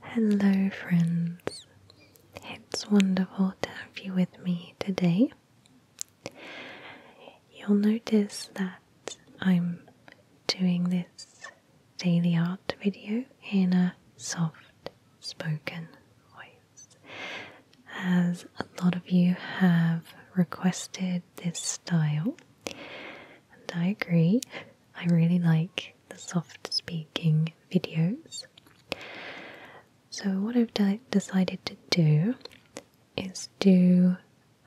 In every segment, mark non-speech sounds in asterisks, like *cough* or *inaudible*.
Hello, friends. It's wonderful to have you with me today. You'll notice that I'm doing this daily art video in a soft spoken voice, as a lot of you have requested this style, and I agree, I really like the soft speaking videos. So, what I've decided to do is do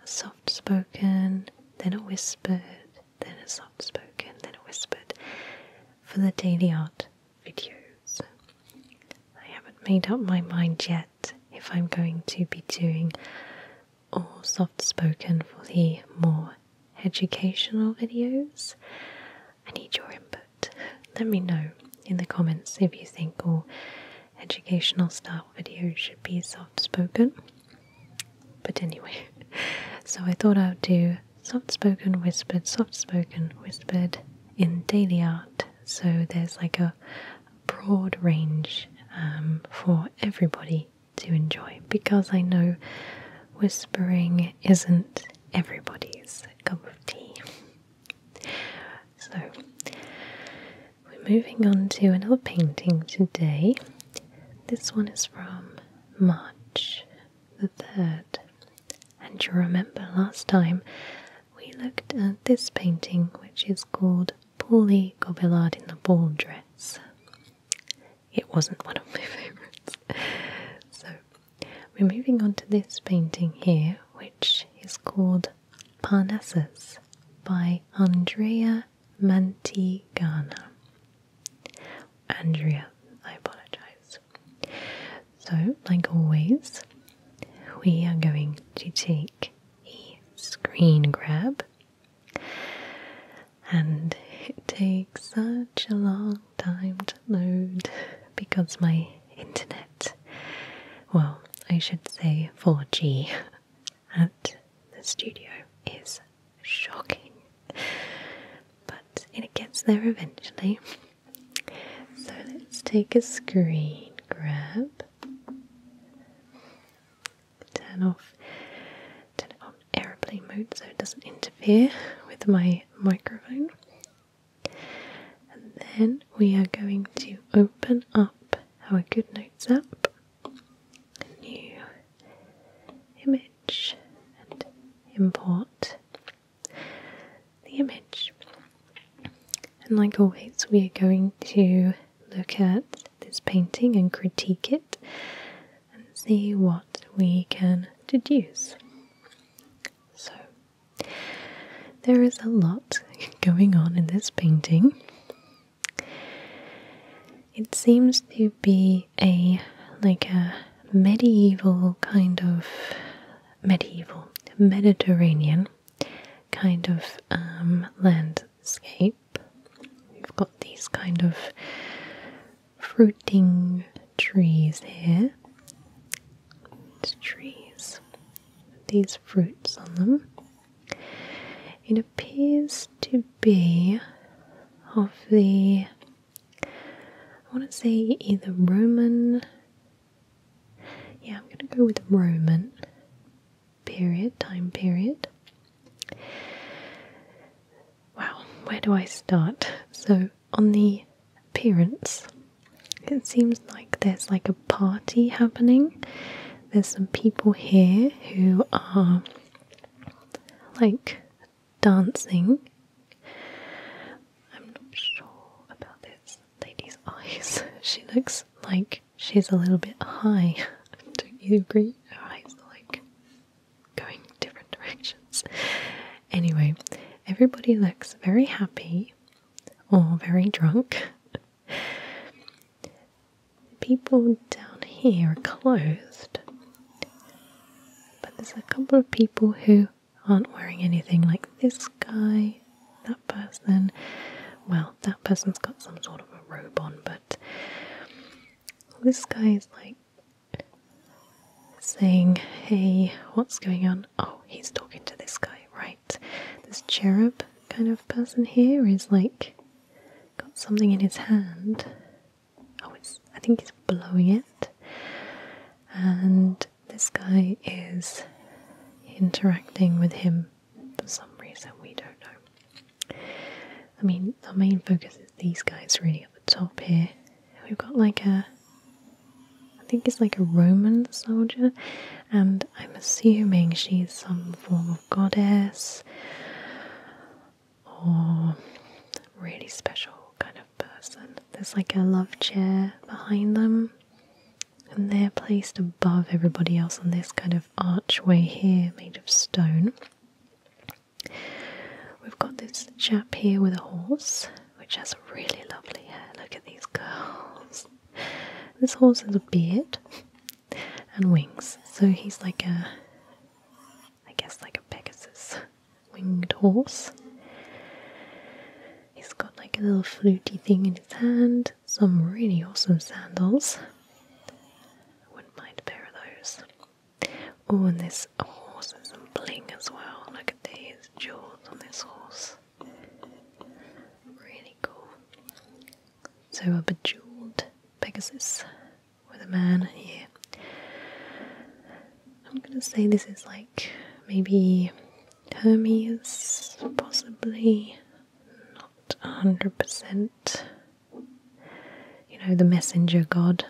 soft spoken, then a whispered, then a soft spoken, then a whispered for the daily art videos. I haven't made up my mind yet if I'm going to be doing all soft spoken for the more educational videos? I need your input. Let me know in the comments if you think all educational style videos should be soft spoken. But anyway, *laughs* so I thought I would do soft spoken, whispered, soft spoken, whispered in daily art. So there's like a broad range um, for everybody to enjoy because I know whispering isn't everybody's cup of tea. So, we're moving on to another painting today. This one is from March the 3rd. And you remember last time we looked at this painting, which is called Polly Gobelard in the Ball Dress it wasn't one of my *laughs* favourites. So we're moving on to this painting here, which is called Parnassus by Andrea Mantegana. Andrea, I apologise. So, like always, we are going to take a screen grab and it takes such a long time to load because my internet, well, I should say 4G at the studio is shocking, but it gets there eventually. So let's take a screen grab turn off turn it on airplane mode so it doesn't interfere with my microphone. And then we are going to open up our Good Notes app, new image, and import the image. And like always, we are going to look at this painting and critique it and see what we can deduce. So, there is a lot *laughs* going on in this painting. It seems to be a like a medieval kind of medieval Mediterranean kind of um, land landscape. We've got these kind of fruiting trees here. trees these fruits on them. It appears to be of the I want to say either Roman yeah, I'm going to go with Roman period, time period. Wow, where do I start? So, on the appearance, it seems like there's like a party happening. There's some people here who are like dancing. I'm not sure about this lady's *laughs* eyes. She looks like she's a little bit high. *laughs* Don't you agree? Her eyes are like going different directions. Anyway, everybody looks very happy or very drunk. People down here are clothed, but there's a couple of people who aren't wearing anything, like this guy, that person. Well, that person's got some sort of a robe on, but this guy is like saying, Hey, what's going on? Oh, he's talking to this guy, right? This cherub kind of person here is like got something in his hand. Oh, it's, I think he's blowing it. And this guy is interacting with him for some reason, we don't know. I mean, our main focus is these guys really at the top here. We've got like a, I think it's like a Roman soldier, and I'm assuming she's some form of goddess or really special kind of person. There's like a love chair behind them, and they're placed above everybody else on this kind of archway here made of stone. We've got this chap here with a horse, which has really lovely hair. Look at these girls! This horse has a beard and wings, so he's like a, I guess, like a Pegasus winged horse. He's got like a little fluty thing in his hand, some really awesome sandals, I wouldn't mind a pair of those. Oh, and this horse has some bling as well. Look at these jewels on this horse. Really cool. So a bejeweled Pegasus with a man here. I'm gonna say this is like maybe Hermes, possibly not 100% you know, the messenger god.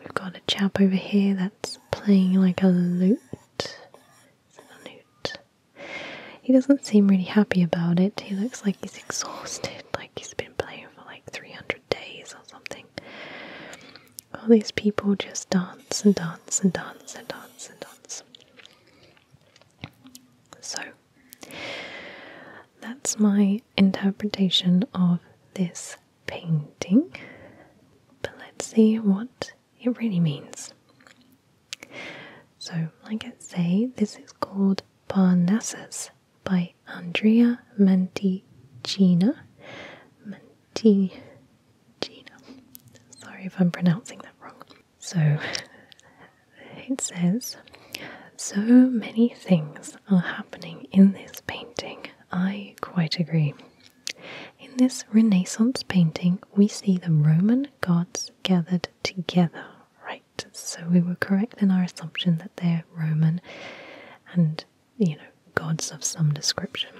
We've got a chap over here that's playing like a lute. Is it a lute? He doesn't seem really happy about it. He looks like he's exhausted, *laughs* like he's been playing for like 300 days or something. All these people just dance and dance and dance and dance and dance. So, that's my interpretation of this painting, but let's see what it really means. So, like I say, this is called Parnassus by Andrea Manticina. Manticina. Sorry if I'm pronouncing that wrong. So *laughs* it says, so many things are happening in this painting. I quite agree. In this Renaissance painting, we see the Roman gods gathered together, right? So we were correct in our assumption that they're Roman and, you know, gods of some description.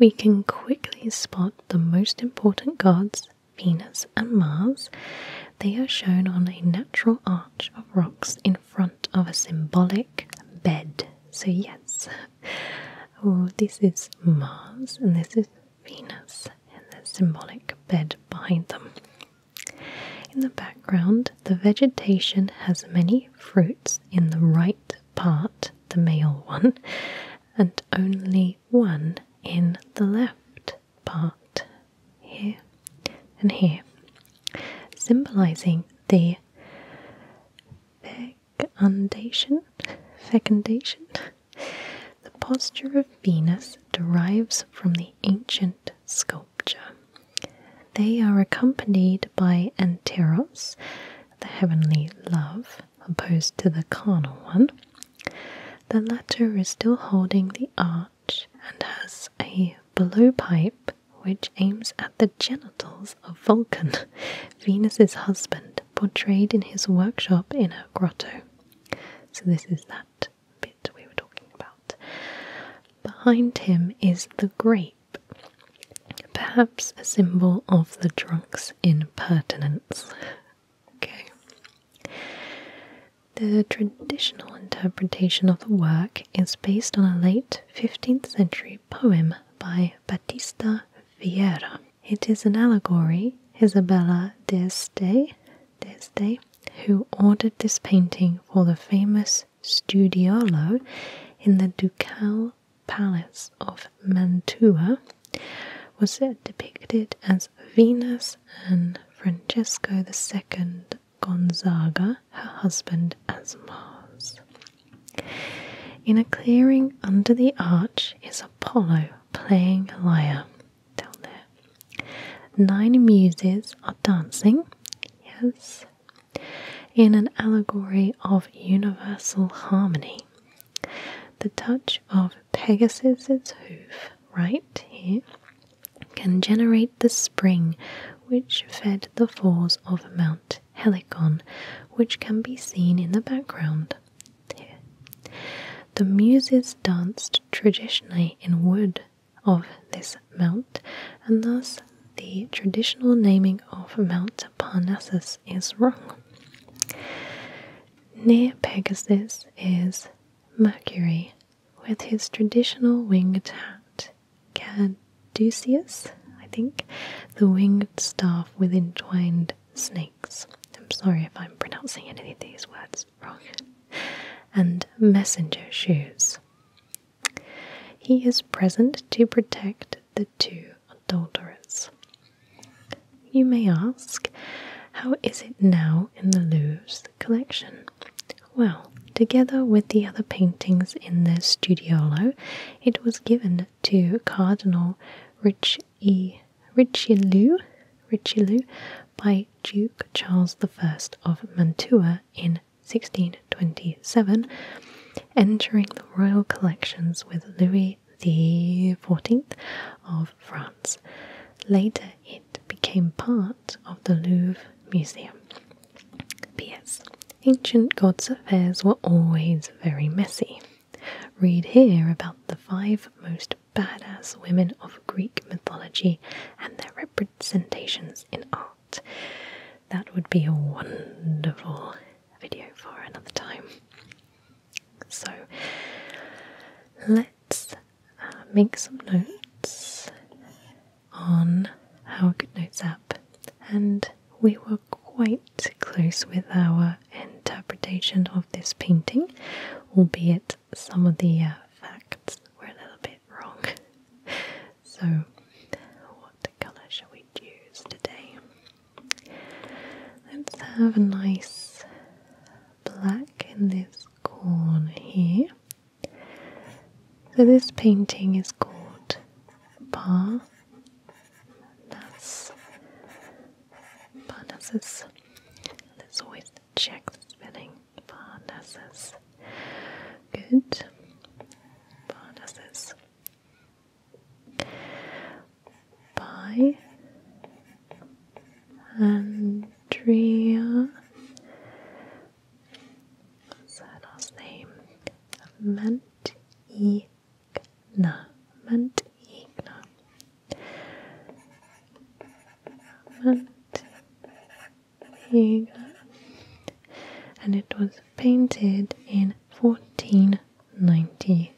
We can quickly spot the most important gods Venus, and Mars, they are shown on a natural arch of rocks in front of a symbolic bed. So, yes, *laughs* oh, this is Mars and this is Venus, and the symbolic bed behind them. In the background, the vegetation has many fruits in the right part, the male one, and only one in the left part here and here, symbolizing the fecundation. Fecundation. The posture of Venus derives from the ancient sculpture. They are accompanied by Anteros, the heavenly love, opposed to the carnal one, the latter is still holding the arch and has a blowpipe which aims at the genitals of Vulcan, *laughs* Venus's husband, portrayed in his workshop in a grotto. So this is that bit we were talking about. Behind him is the grape, perhaps a symbol of the drunk's impertinence. *laughs* Okay. The traditional interpretation of the work is based on a late 15th century poem by Batista Vieira. It is an allegory. Isabella d'Este, d'Este who ordered this painting for the famous Studiolo in the Ducal Palace of Mantua, was depicted as Venus and Francesco II Gonzaga, her husband, as Mars. In a clearing under the arch is Apollo playing a lyre down there. Nine muses are dancing, yes, in an allegory of universal harmony the touch of Pegasus's hoof right here can generate the spring which fed the falls of Mount Helicon, which can be seen in the background. The Muses danced traditionally in wood of this mount, and thus the traditional naming of Mount Parnassus is wrong. Near Pegasus is Mercury with his traditional winged hat, Caduceus, I think, the winged staff with entwined snakes. I'm sorry if I'm pronouncing any of these words wrong. And messenger shoes. He is present to protect the two adulterers. You may ask, how is it now in the Louvre's collection? Well, together with the other paintings in the studiolo, it was given to Cardinal Richelieu, Richelieu by Duke Charles I of Mantua in 1627, entering the royal collections with Louis the 14th of France. Later, it became part of the Louvre Museum. P.S. Ancient gods' affairs were always very messy. Read here about the five most badass women of Greek mythology and their representations in art. That would be a wonderful video for another time. So let's uh, make some notes on our Good Notes up, and we were quite close with our interpretation of this painting, albeit some of the uh, facts were a little bit wrong. *laughs* So, what colour shall we use today? Let's have a nice black in this corner here. So this painting is called Bar That's Parnassus. Let's always check the spelling. Parnassus. Good. Parnassus by Andrea. What's her last name? Mantigna. Mantigna. Mantigna. And it was painted in 1490.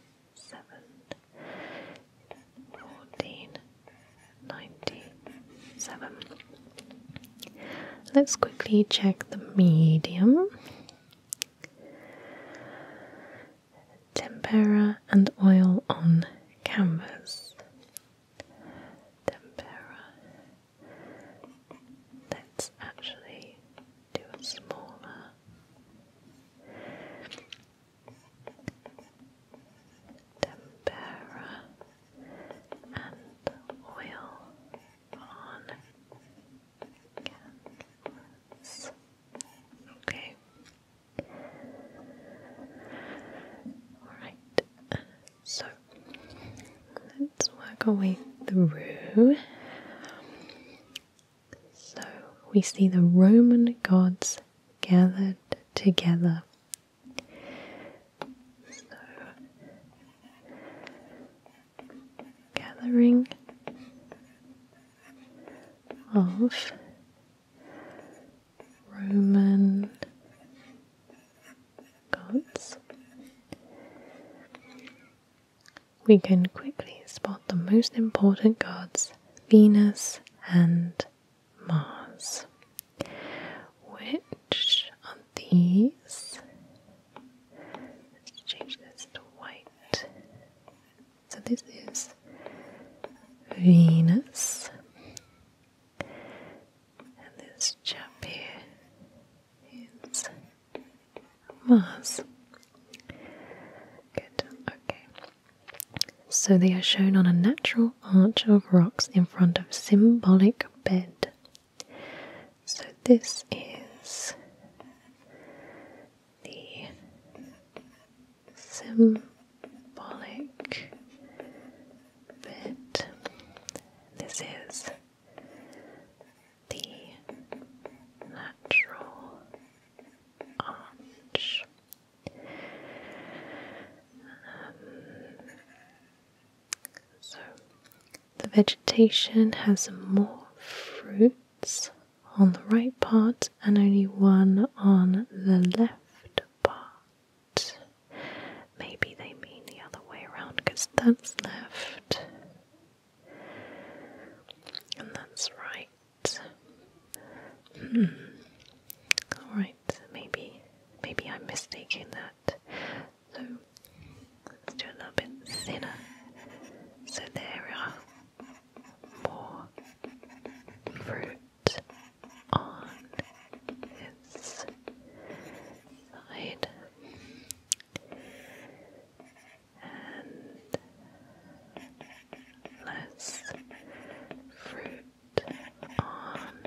1497. Let's quickly check the medium. Tempera and oil on canvas. Tempera. Let's actually do a smaller tempera, and oil on canvas. Okay. Alright, so let's work our way through. So we see the Roman gods gathered together. So, gathering of Roman gods we can quickly spot the most important gods Venus and Mars. Which of these? Let's change this to white. So this is Venus. And this chap here is Mars. Good, okay. So they are shown on a natural arch of rocks in front of symbolic bed. So this is the symbolic bed. This is the natural so the vegetation has more fruits on the right part and only one on the left part. Maybe they mean the other way around because that's left and that's right. Hmm. All right, maybe, maybe I'm mistaking that. So let's do a little bit thinner. So there are more fruit on this side and less fruit on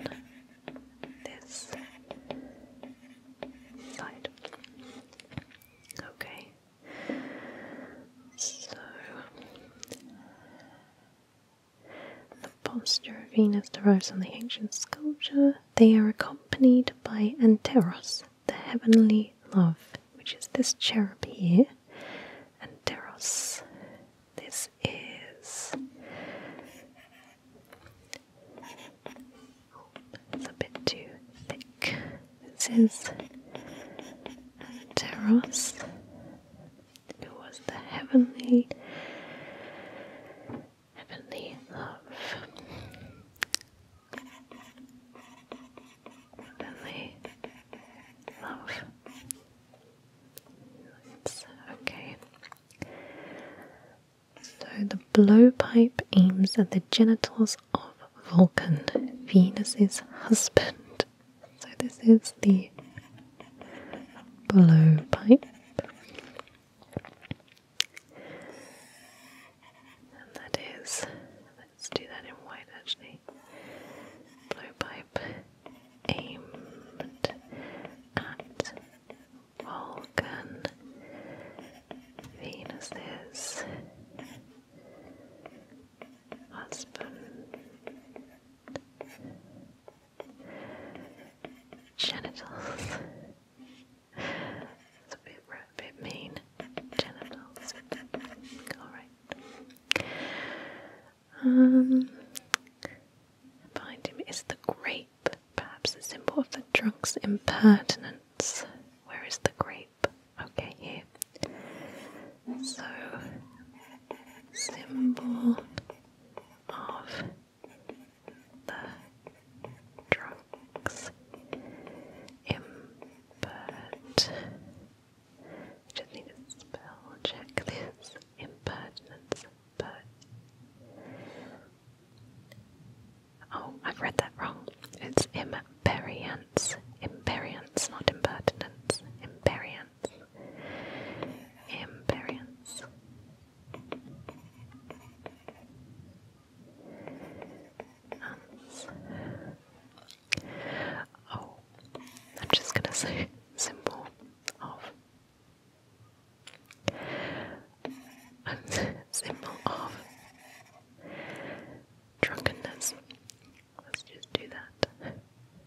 this side. Okay, so the posture of Venus derives from the ancient sculpture. They are accompanied by anteros, the heavenly love, which is this cherub here, and Deros. This is a bit too thick. This is Deros, who was the heavenly heavenly love love. okay. So the blowpipe aims at the genitals of Vulcan, Venus's husband. So this is the blowpipe. And that is Let's do that in white actually. Blowpipe aimed at Vulcan Venus's husband genitals. It's a bit, bit mean. Alright. behind um, him is the grape, perhaps a symbol of the drunk's impertinence. Where is the grape? Okay, here. So, symbol of the drunk's impertinence but just need to spell check this impertinence, but oh, I've read that wrong. It's imperience, imperience, not impertinence, imperience, imperience. Oh, I'm just gonna say simple *laughs* of. *laughs* symbol of drunkenness. Let's just do that. *laughs*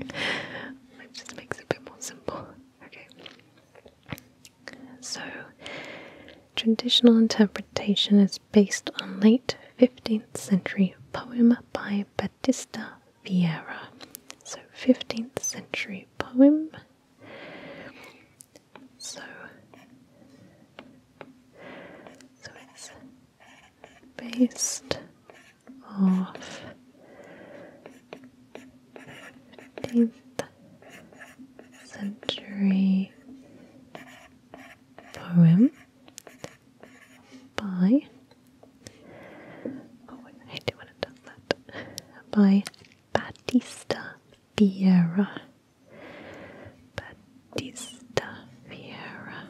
it just makes it a bit more simple. Okay. So, traditional interpretation is based on late 15th century poem by Battista Vieira. So, 15th century poem. So, so it's based off 15th century poem by oh wait, I do want to done that by Batista Vieira Batista Vieira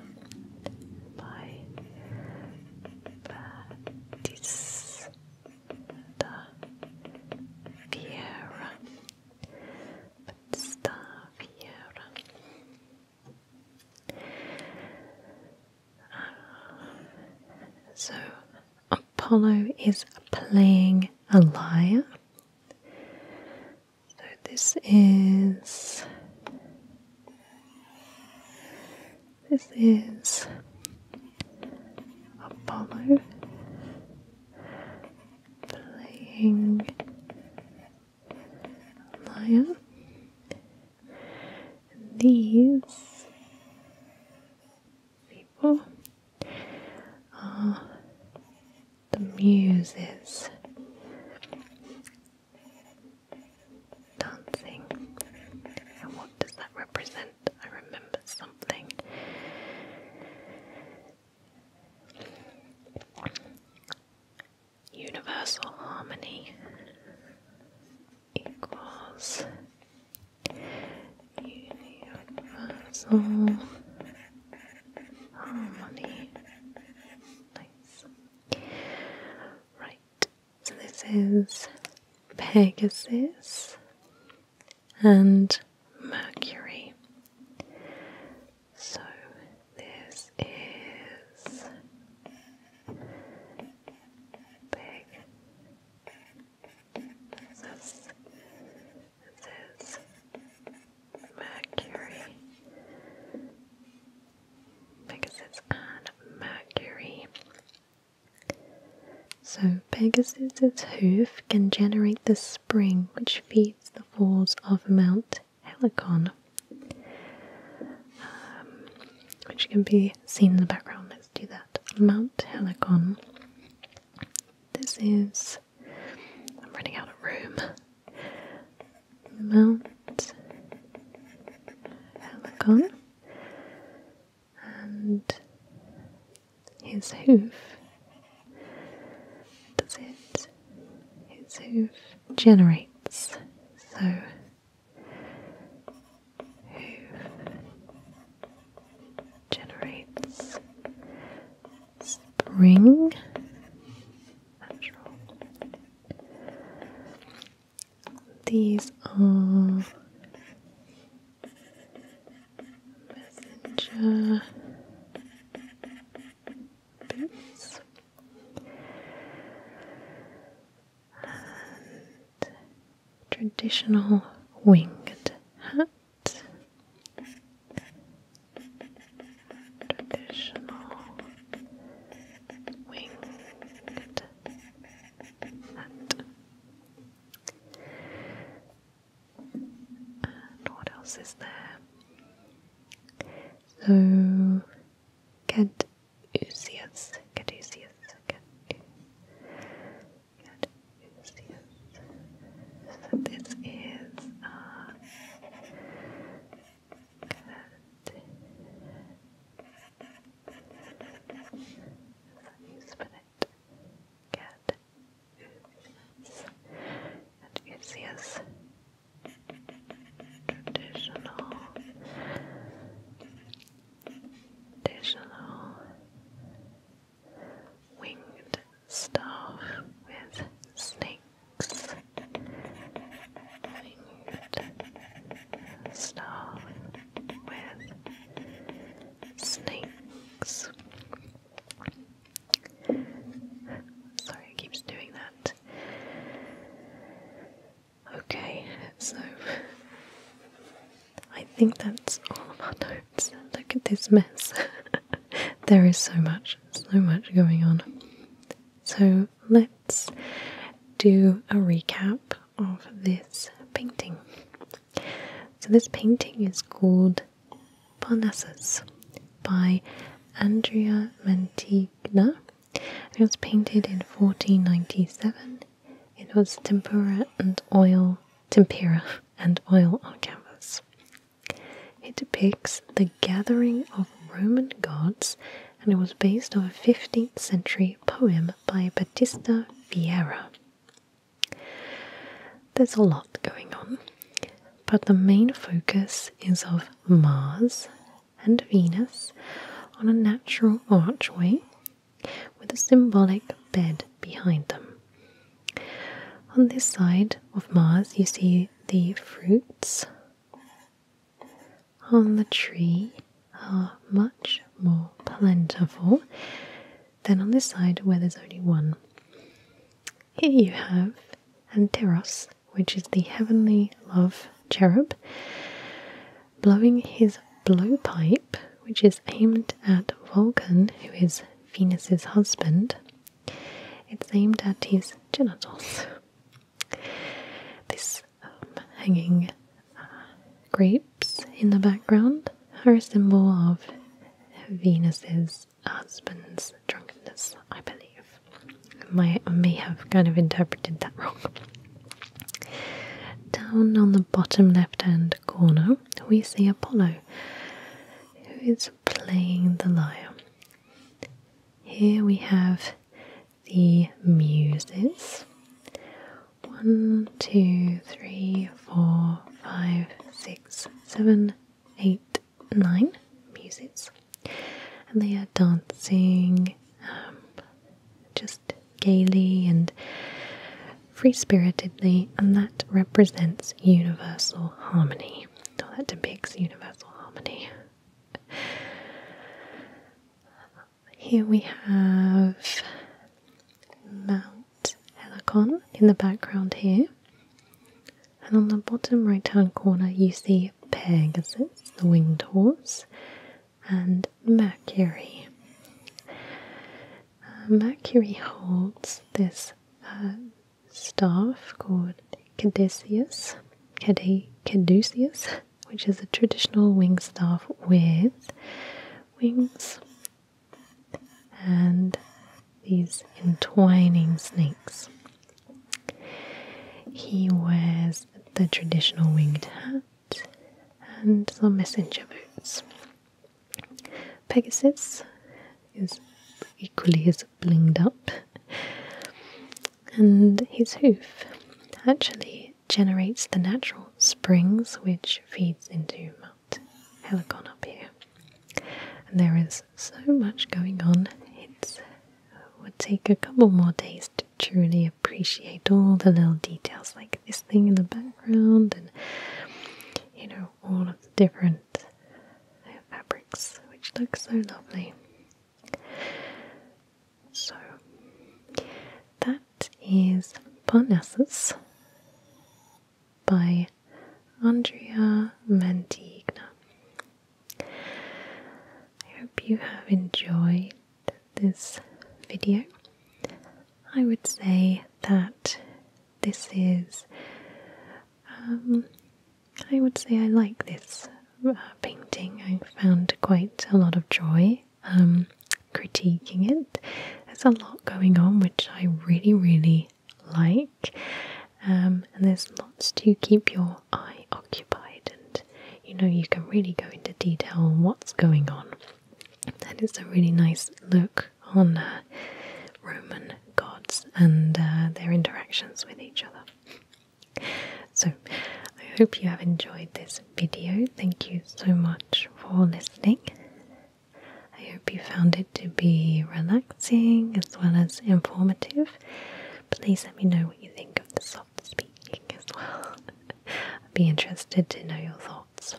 by Batista the Fiera, Fiera. So Apollo is playing a lyre. So this is this is Apollo playing Lion. These people are the Muses dancing. And what does that represent? I remember something. Universal harmony equals universal harmony. Nice. Right. So this is Pegasus and Mercury. So this is Pegasus. This is Mercury. Pegasus and Mercury. So Pegasus's hoof can generate the spring which feeds the falls of Mount Helicon, um, which can be seen in the background. Let's do that. Mount Helicon. This is. I'm running out of room. Mount Helicon and his hoof. Does it? His hoof generates. So, hoof generates spring. These are messenger bits and traditional winged hat, traditional winged that. And what else is there? So, Caduceus, Caduceus, Caduceus. So this is uh, Spinach, cat, oops, and Uzias. Traditional, traditional winged staff with snakes. Start with snakes. Sorry, it keeps doing that. Okay, so I think that's all of our notes. Look at this mess. *laughs* there is so much, so much going on. So let's do a recap of this painting. So, this painting is called Parnassus by Andrea Mantegna. It was painted in 1497. It was tempera and oil, tempera and oil on canvas. It depicts the gathering of Roman gods and it was based on a 15th century poem by Batista Vieira. There's a lot going on, but the main focus is of Mars and Venus on a natural archway with a symbolic bed behind them. On this side of Mars, you see the fruits on the tree are much more plentiful than on this side where there's only one. Here you have Anteros, which is the heavenly love cherub, blowing his blowpipe, which is aimed at Vulcan, who is Venus's husband. It's aimed at his genitals. This um, hanging uh, grapes in the background are a symbol of Venus's husband's drunkenness, I believe. My, I may have kind of interpreted that wrong. Down on the bottom left hand corner, we see Apollo, who is playing the lyre. Here we have the Muses. One, two, three, four, five, six, seven, eight, nine Muses. And they are dancing um, just gaily and free spiritedly, and that represents universal harmony. that depicts universal harmony. Here we have Mount Helicon in the background here. And on the bottom right hand corner, you see Pegasus, the winged horse, and Mercury. Uh, Mercury holds this uh, staff called Caduceus. Cad- Caduceus which is a traditional staff with wings and these entwining snakes. He wears the traditional winged hat and some messenger boots. Pegasus is equally as blinged up and his hoof actually generates the natural springs which feeds into Mount Helicon up here. And there is so much going on, it would take a couple more days to truly appreciate all the little details like this thing in the background and you know all of the different fabrics which look so lovely so that is Parnassus by Andrea Mantegna. I hope you have enjoyed this video. I would say that this is, um, I would say I like this painting. I found quite a lot of joy um, critiquing it. There's a lot going on, which I really, really like. Um, and there's lots to keep your eye occupied, and you know, you can really go into detail on what's going on. And it's a really nice look on uh, Roman gods and uh, their interactions with each other. So, I hope you have enjoyed this video. Thank you so much for listening. I hope you found it to be relaxing as well as informative. Please let me know what you think of the soft speaking as well. *laughs* I'd be interested to know your thoughts.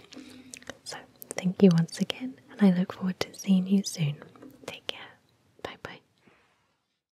So, thank you once again, and I look forward to seeing you soon. Take care. Bye bye.